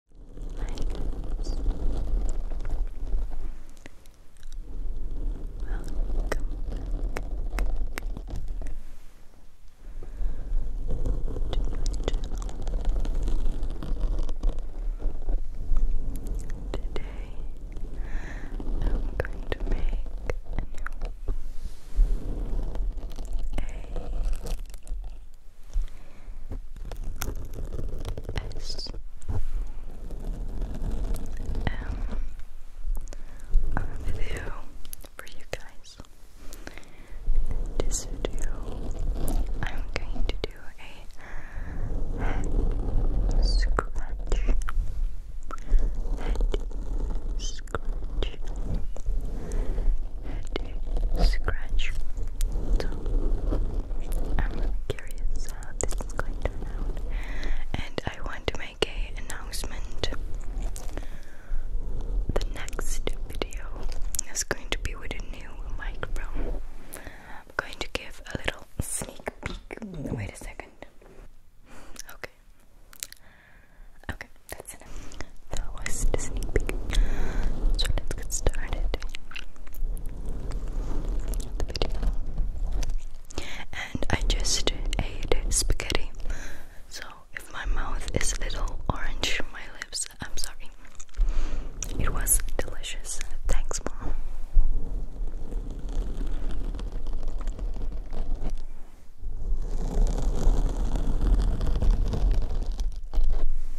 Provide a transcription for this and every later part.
Hi guys. Welcome Today I'm going to make a S M a video for you guys. this video, I'm going to do a scratch. Head scratch to scratch. So I'm really curious how this is going to turn out. And I want to make a announcement. The next video is going to be with a new microphone. I'm going to give a little sneak peek. Wait a second. Okay. Okay, that was the sneak peek. So let's get started the video. And I just ate spaghetti. So if my mouth is a little orange, my lips, I'm sorry. It was delicious. Thanks, mom.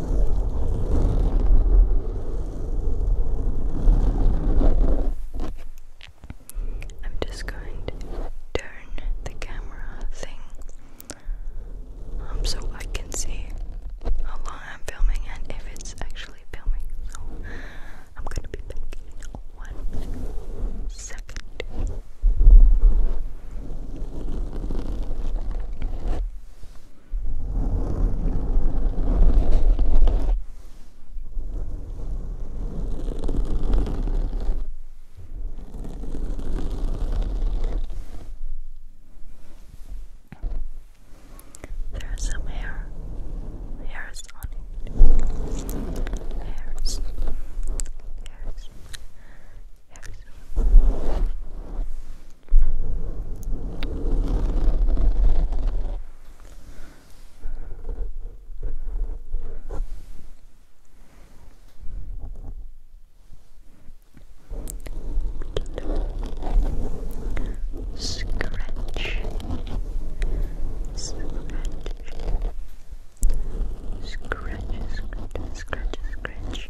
I'm just going to turn the camera thing so I can see how long I'm filming and if it's actually filming. So I'm gonna be back in one second. There's some hair, hairs on it. Hairs, hairs, very soon. Scratch, scratch, scratch, scratch, scratch, scratch.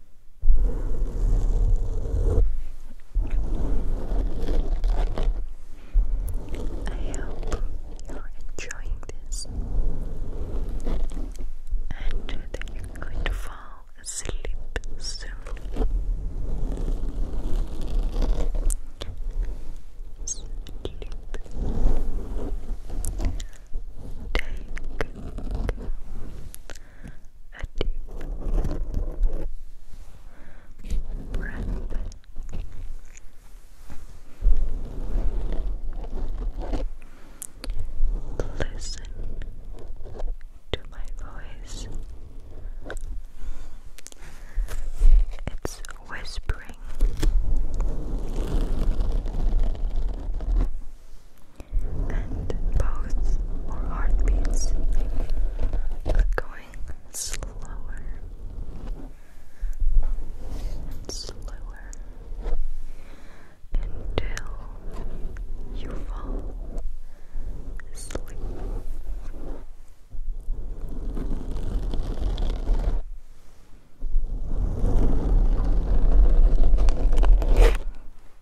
I hope you're enjoying this and that you're going to fall asleep soon. Sleep. Take a deep breath. Listen to my voice. It's whispering and pulse or heartbeats are going slower and slower until you fall asleep.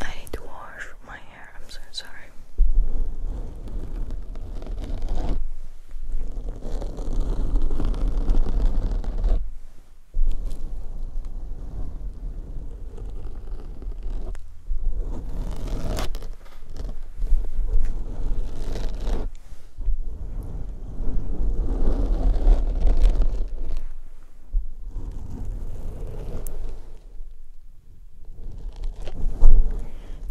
I need to wash my hair. I'm so sorry.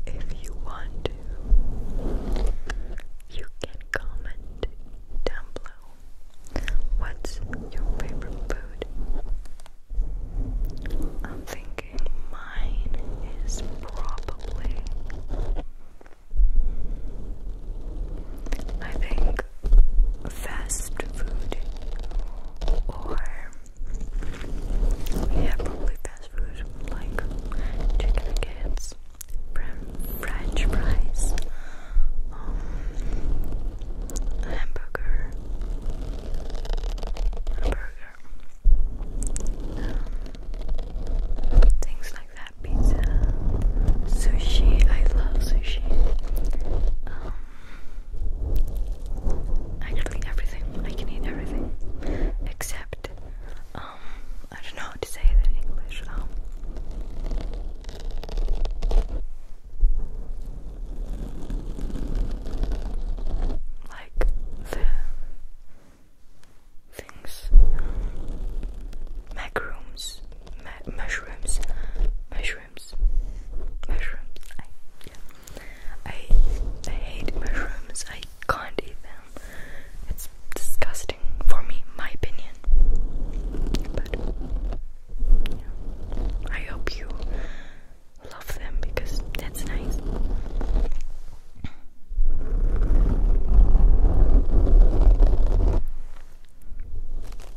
If you want to, you can comment down below. What's your favorite food? I'm thinking mine is probably. I think fast food or yeah, probably fast food like chicken nuggets, French fries, um, hamburger, hamburger, um, things like that. Pizza, sushi. I love sushi. Um, Actually, everything. I can eat everything except, um, I don't know how to say it in English. Um, like the things, um, mushrooms, mushrooms, mushrooms. Mushrooms. I, yeah. I, I hate mushrooms. I can't eat them. It's disgusting for me, my opinion. But I hope you love them because that's nice.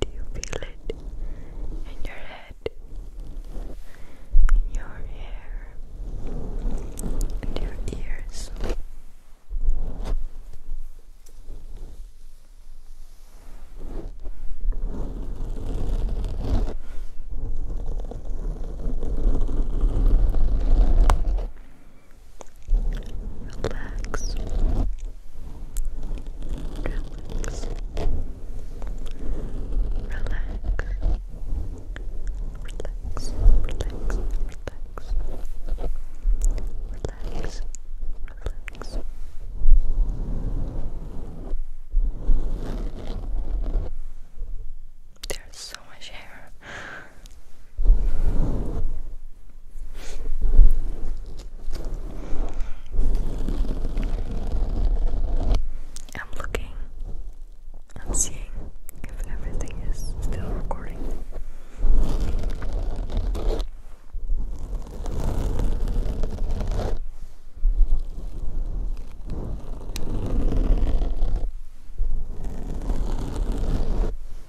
Do you feel it in your head, in your hair, in your ears? relax, relax, relax. Relax, relax, relax, relax, relax. There's so much hair. I'm looking, I'm seeing if everything is still recording.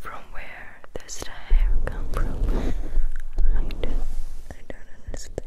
From where does the hair come from? I don't understand.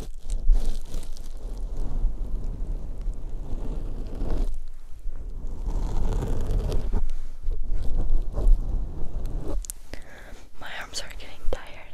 My arms are getting tired.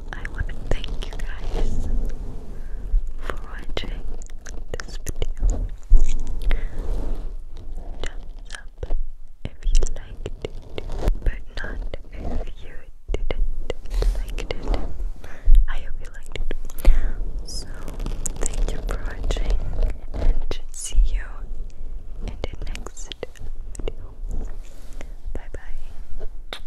I want to thank you guys for watching this video. Thumbs up if you liked it, but not if you didn't like it. I hope you liked it. So, thank you for watching and see you in the next video. Bye bye.